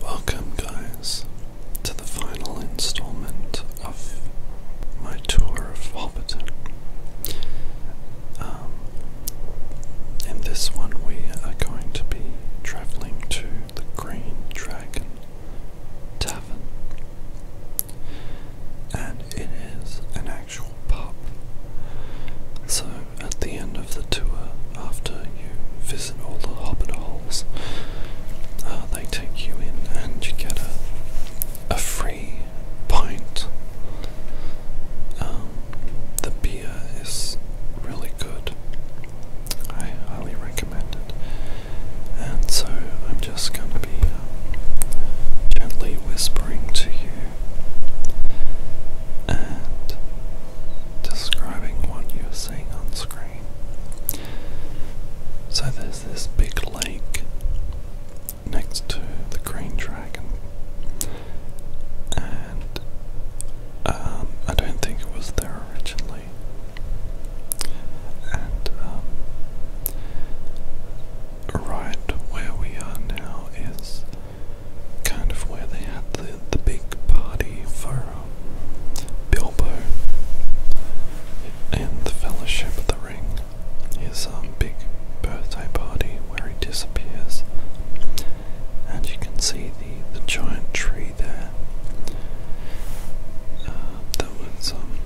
Welcome, guys, to the final installment of my tour of Hobbiton. Um, in this one, we are going to be travelling to the Green Dragon Tavern, and it is an actual pub. So at the end of the tour, after you visit all the hobbit holes, uh, they take you in and you get a, a free pint. Um, the beer is really good. I highly recommend it. And so I'm just going to be uh, gently whispering to you and describing what you seeing on screen. So there's this big lake next to the Green Dragon, and um, I don't think it was there originally. And um, right where we are now is kind of where they had the, the big party for um, Bilbo and the Fellowship of the Ring. His um, big birthday party where he disappears, and you can see the the giant tree there. Uh, that was um,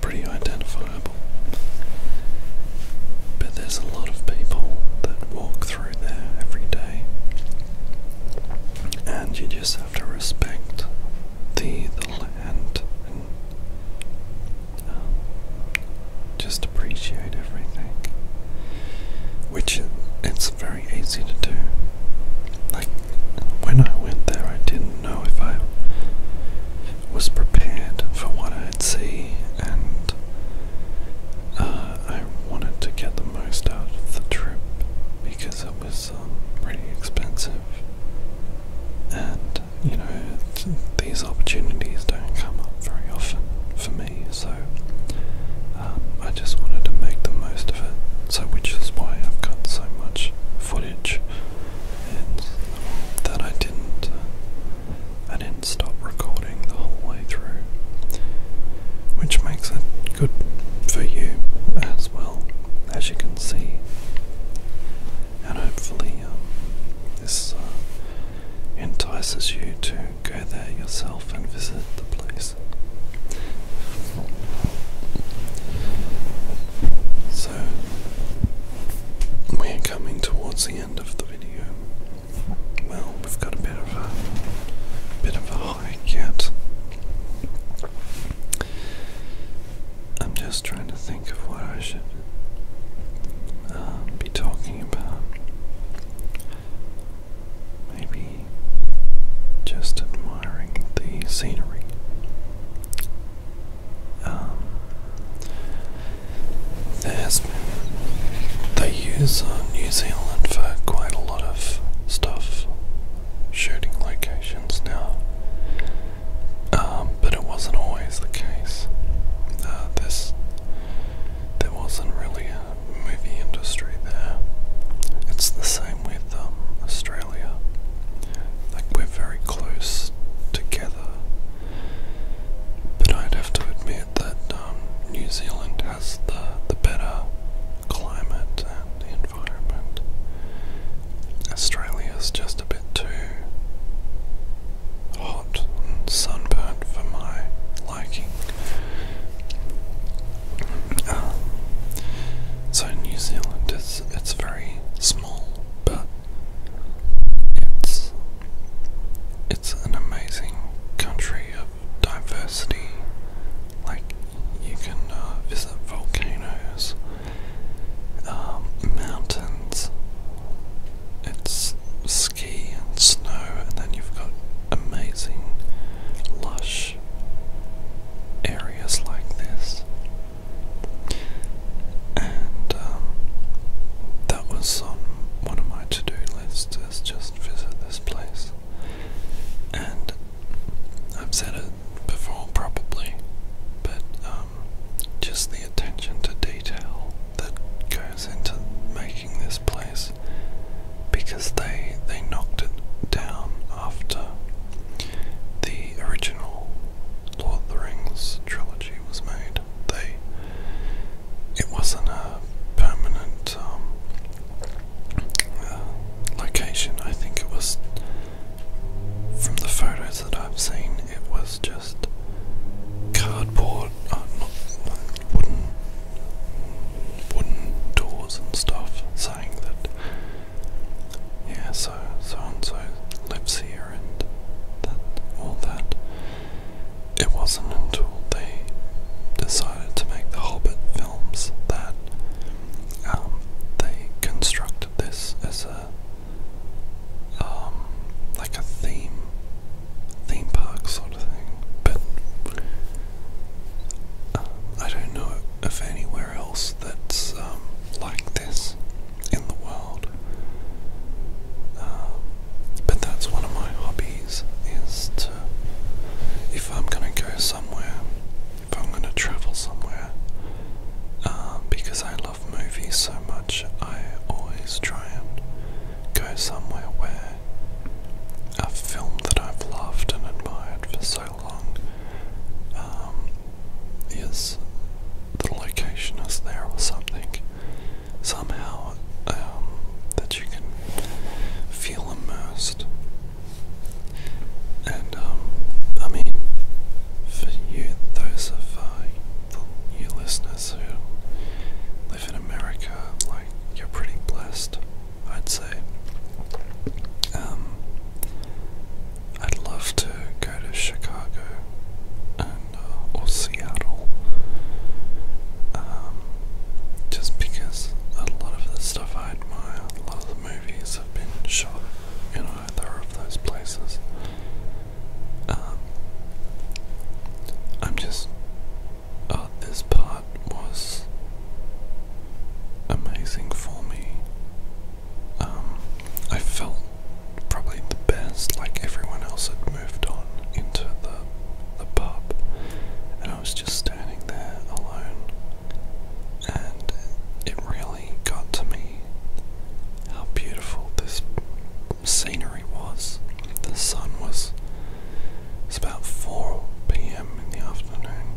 pretty identifiable. But there's a lot of people that walk through there every day. And you just have to respect the land and um, just appreciate everything. Which it's very easy to do. Like when I went there, I didn't know if I was prepared for what I'd see, and uh, I wanted to get the most out of the trip because it was pretty um, expensive, and you know these opportunities don't come up very often for me, so um, I just wanted to make the most of it. So, which is why I've got so much footage that I didn't. Uh, I didn't stop recording the whole way through, which makes it good for you as well, as you can see. And hopefully, um, this uh, entices you to go there yourself and visit the place. So, we are coming towards the end of the video. Well, we've got a bit of a bit of a hike yet. I'm just trying to think of what I should uh, be talking about. Maybe just admiring the scenery. Um, there They use uh, New Zealand for quite a lot of stuff, shooting locations now. Um, but it wasn't always the case. Uh, this, there wasn't really a movie industry there. It's the same with um, Australia. Like we're very close together, but I'd have to admit that um, New Zealand has the, the better climate and environment. Australia is just a bit too hot and sunburnt for my liking. Uh, so New Zealand is it's very small, but it's it's an amazing country of diversity. Like, you can uh, visit volcanoes, um, mountains, it's ski and snow, and then you've got amazing, lush areas like this. And um, that was on one of my to-do list just visit this place. And I've said it before probably, but um, just the attention to detail that goes into making this place because they they knocked it down after the original Lord of the Rings trilogy was made, they it wasn't a permanent um, uh, location. I think it was from the photos that I've seen. It was just cardboard, uh, not wooden, wooden doors and stuff, saying that yeah, so so and so lives here and that all that. It wasn't until they decided to make the Hobbit films that um, they constructed this as a um, like a theme theme park sort of thing. But um, I don't know if anywhere else that's like this in the world. Um, but that's one of my hobbies is to, if I'm going to go somewhere, if I'm going to travel somewhere, um, because I love movies so much, I always try and go somewhere where a film that I've loved and admired for so long um, is the location is there or something somehow um, that you can feel immersed. And um, I mean, for you, those of uh, you listeners who live in America, like you're pretty blessed, I'd say. Um, I'd love go to Chicago uh, or Seattle, um, just because a lot of the stuff I admire, a lot of the movies have been shot in either of those places. Um, I'm just. Uh, this part was amazing for me um, I felt probably the best, like everyone else had moved on into the, the pub, and I was just standing there alone, and it really got to me how beautiful this scenery was. The sun was. It's about 4 p.m. in the afternoon.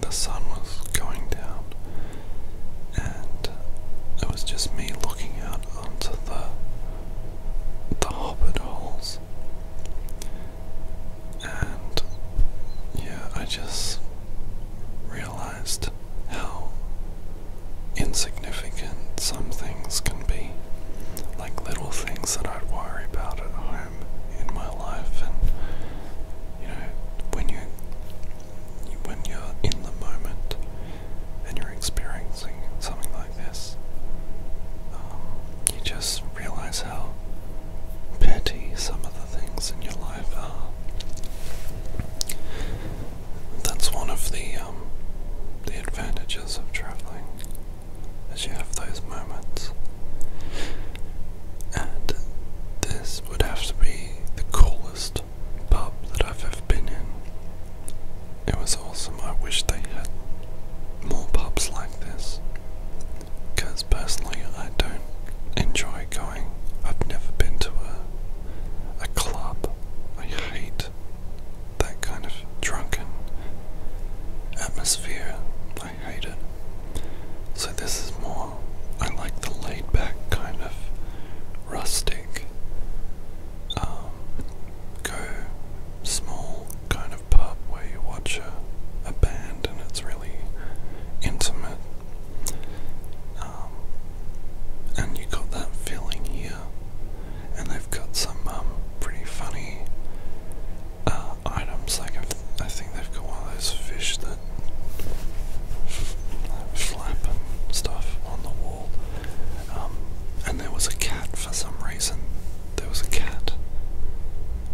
The sun was going down, and it was just me looking out onto the the hobbit holes. And yeah, I just realized how insignificant some things can be. Like little things that I'd worry about at home in my life and you know, when you when you're in the moment and you're experiencing something like this, um, you just realize how petty some of the things in your life are. That's one of the um, the advantages of traveling, as you have those moments. And this would have to be the coolest pub that I've ever been in. It was awesome. I wish they had more pubs like this. Because personally, I don't enjoy going. I've never been to a, a club. I hate that kind of drunken atmosphere. I hate it. So, this is more I like the laid back kind of rustic, um, go small kind of pub where you watch a, a band and it's really intimate. Um, and you got that feeling here. And they've got some um, pretty funny uh, items. Like, I think they've got one of those fish that flap stuff on the wall. Um, and there was a cat for some reason. There was a cat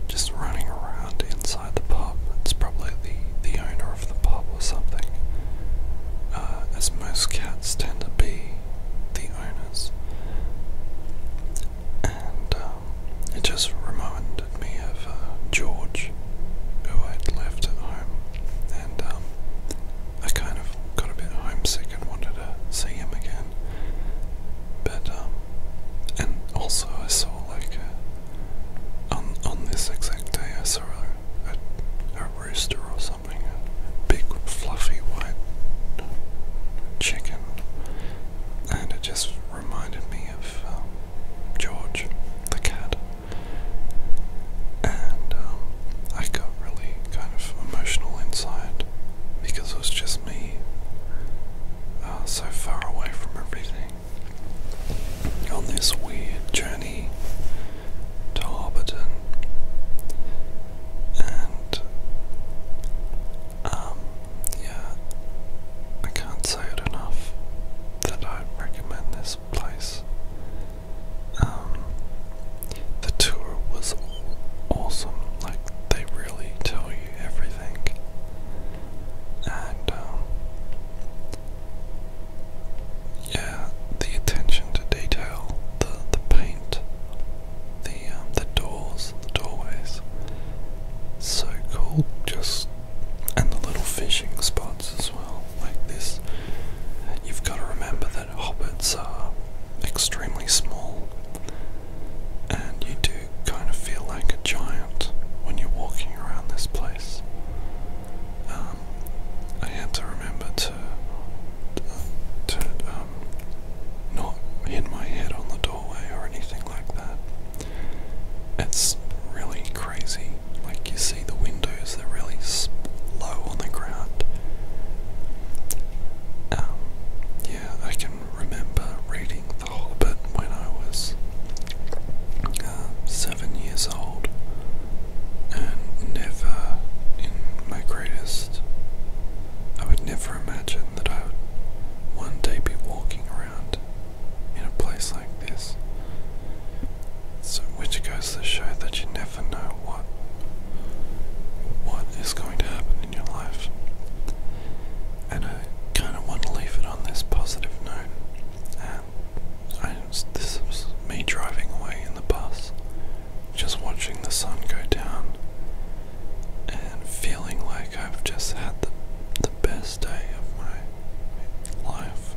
just running around inside the pub. It's probably the, the owner of the pub or something. Uh, as most cats tend to be the owners. And um, it just remind, me of uh, George, who I'd left at home, and um, I kind of got a bit homesick and wanted to see him again. But um, and also I saw like uh, on on this exact day I saw a, a, rooster or something, a big fluffy white chicken, and it just reminded me of um, George the cat. And um, I got really kind of emotional inside because it was just me uh, so far away from everything on this weird journey to Hobbiton. And um, yeah, I can't say it enough that I recommend this place. Um, the tour was awesome, like, they really tell you everything. And, um, yeah, the attention to detail, the, the paint, the, um, the doors, the doorways, so cool, just and the little fishing spots as well, like this. You've got to remember that hobbits are extremely small, and you do kind of feel like a giant when you're walking around this place. Um, I had to remember to to um, not hit my head on the doorway or anything like that. It's really crazy. Like you see the windows, they're really low on the ground. Um, yeah, I can remember reading The whole bit when I was uh, seven years old, and never in my greatest. I would never imagine that I would one day be walking around in a place like this. So, which goes to show that you never know what what is going to happen in your life. And I kind of want to leave it on this positive note. And this is me driving away in the bus, just watching the sun go down, and feeling like I've just had the the best day of my life.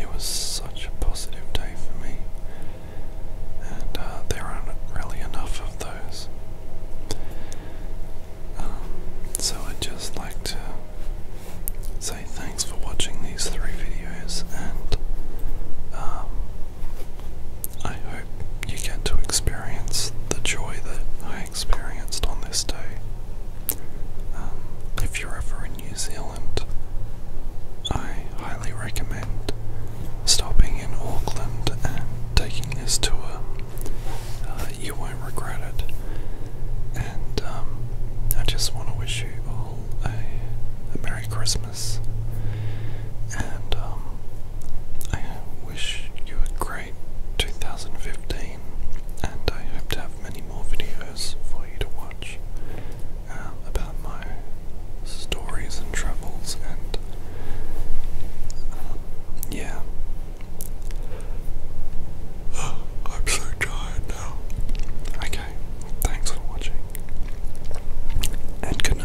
It was such a positive day for me, and uh, there aren't really enough of those. Um, so I'd just like to say thanks for watching these three videos, and um, I hope you get to experience the joy that I I experienced on this day. Um, if you're ever in New Zealand, I highly recommend stopping in Auckland and taking this tour. Uh, you won't regret it. And um, I just want to wish you all a, Merry Christmas. And um, I wish you a great. 2015, and I hope to have many more videos for you to watch um, about my stories and travels, and um, yeah. I'm so tired now. Okay, thanks for watching, and good